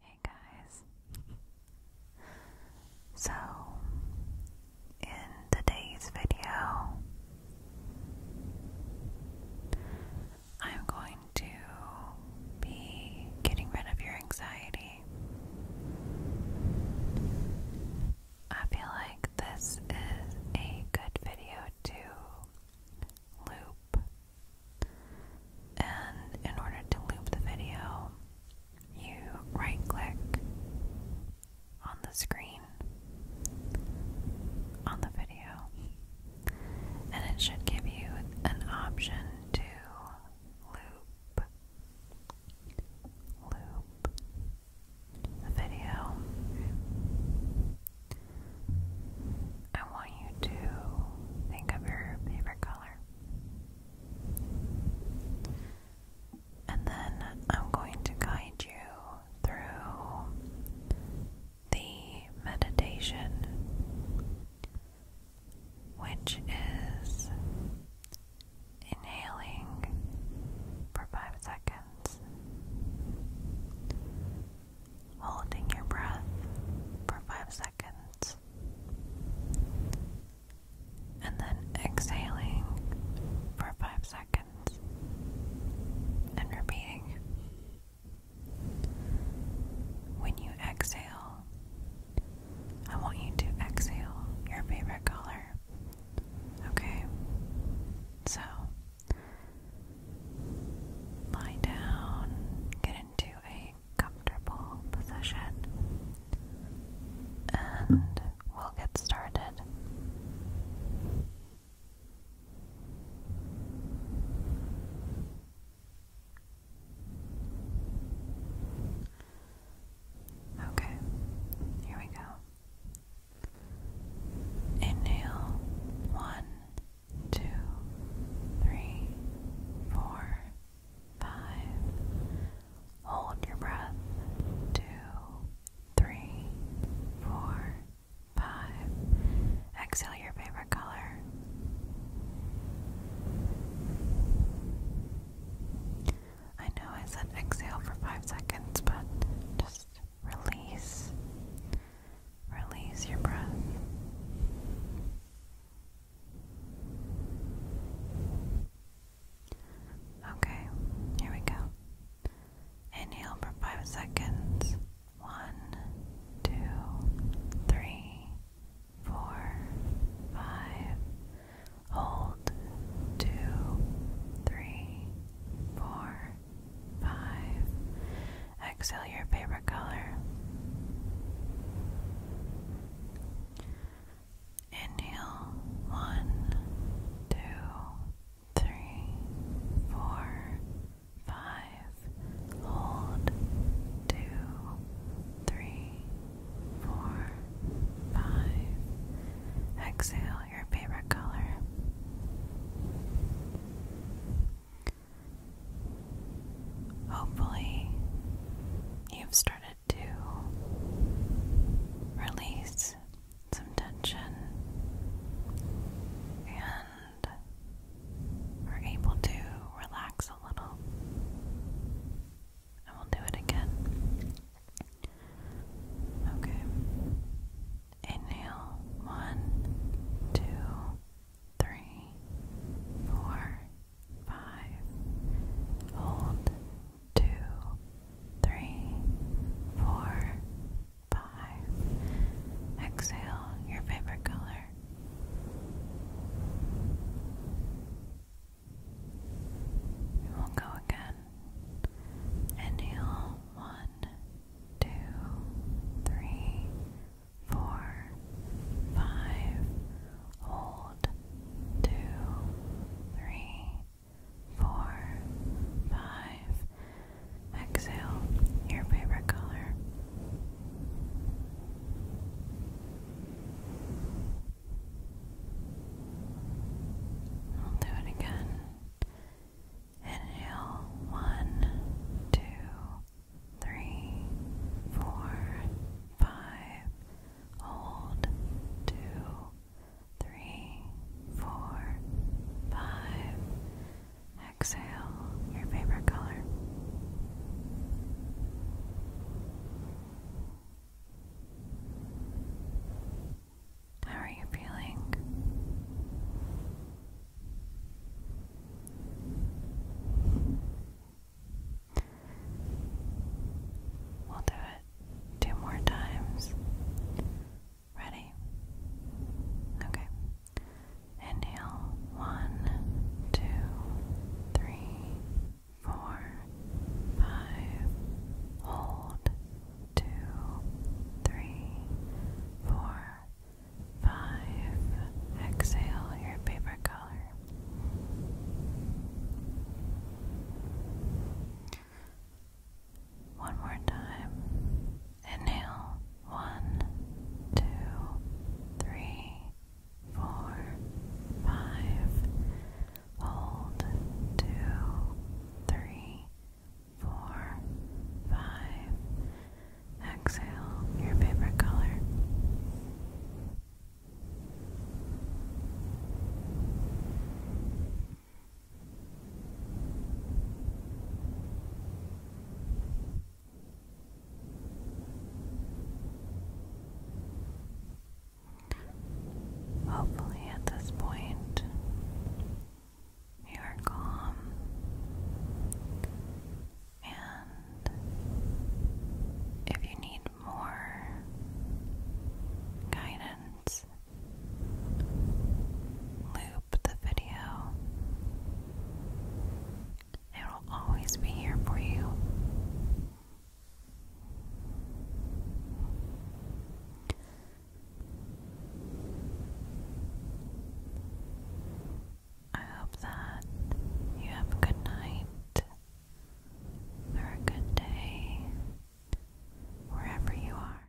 Hey guys. So, in today's video, I'm going to be getting rid of your anxiety. I feel like this is a good video to loop and in order to loop the video, you right click on the screen on the video, and it should give you an option to loop, loop the video. I want you to think of your favorite color. And then I'm going to guide you through the meditation, which is inhaling for five seconds holding your breath for five seconds, and then exhaling for five seconds, and repeating. When you exhale, I want you to exhale your favorite color. Okay? So, Lie down, get into a comfortable position, and we'll get started. Okay, here we go. Inhale one, two, three, four, five. Hold your breath. Two, three, four, five. Exhale your favorite color. I know I said exhale for five seconds, but just release, release your breath. Okay, here we go. Inhale for five seconds. One, two, three, four, five. Hold two, three, four, Five. Exhale your favorite color. Inhale. One, two, three, four, five. Hold. Two, three, four, five. Exhale your favorite color. Hopefully, you've started to release some tension and are able to relax a little. And we'll do it again. Okay. Inhale. One, two, three, four, five. Hold. Two, three, four, five. Exhale your favorite color. We will go again. Inhale. One, one, two, three, four, five. Hold. Two, three, four, five. Exhale your favorite color. do it again. Inhale one, two, three, four, five. Hold two, three, four, five. Exhale your favorite color. How are you feeling? We'll do it two more times. Ready? Okay. Inhale. One, two, three, four, five. Hold two, three, four, five. Exhale your paper color. One more time. Inhale. One, two, three, four, five. Hold two, three, four, five. Exhale your favorite color. Hopefully, at this point, you are calm and if you need more guidance, loop the video. It will always be here for you. I hope that you have a good night or a good day wherever you are.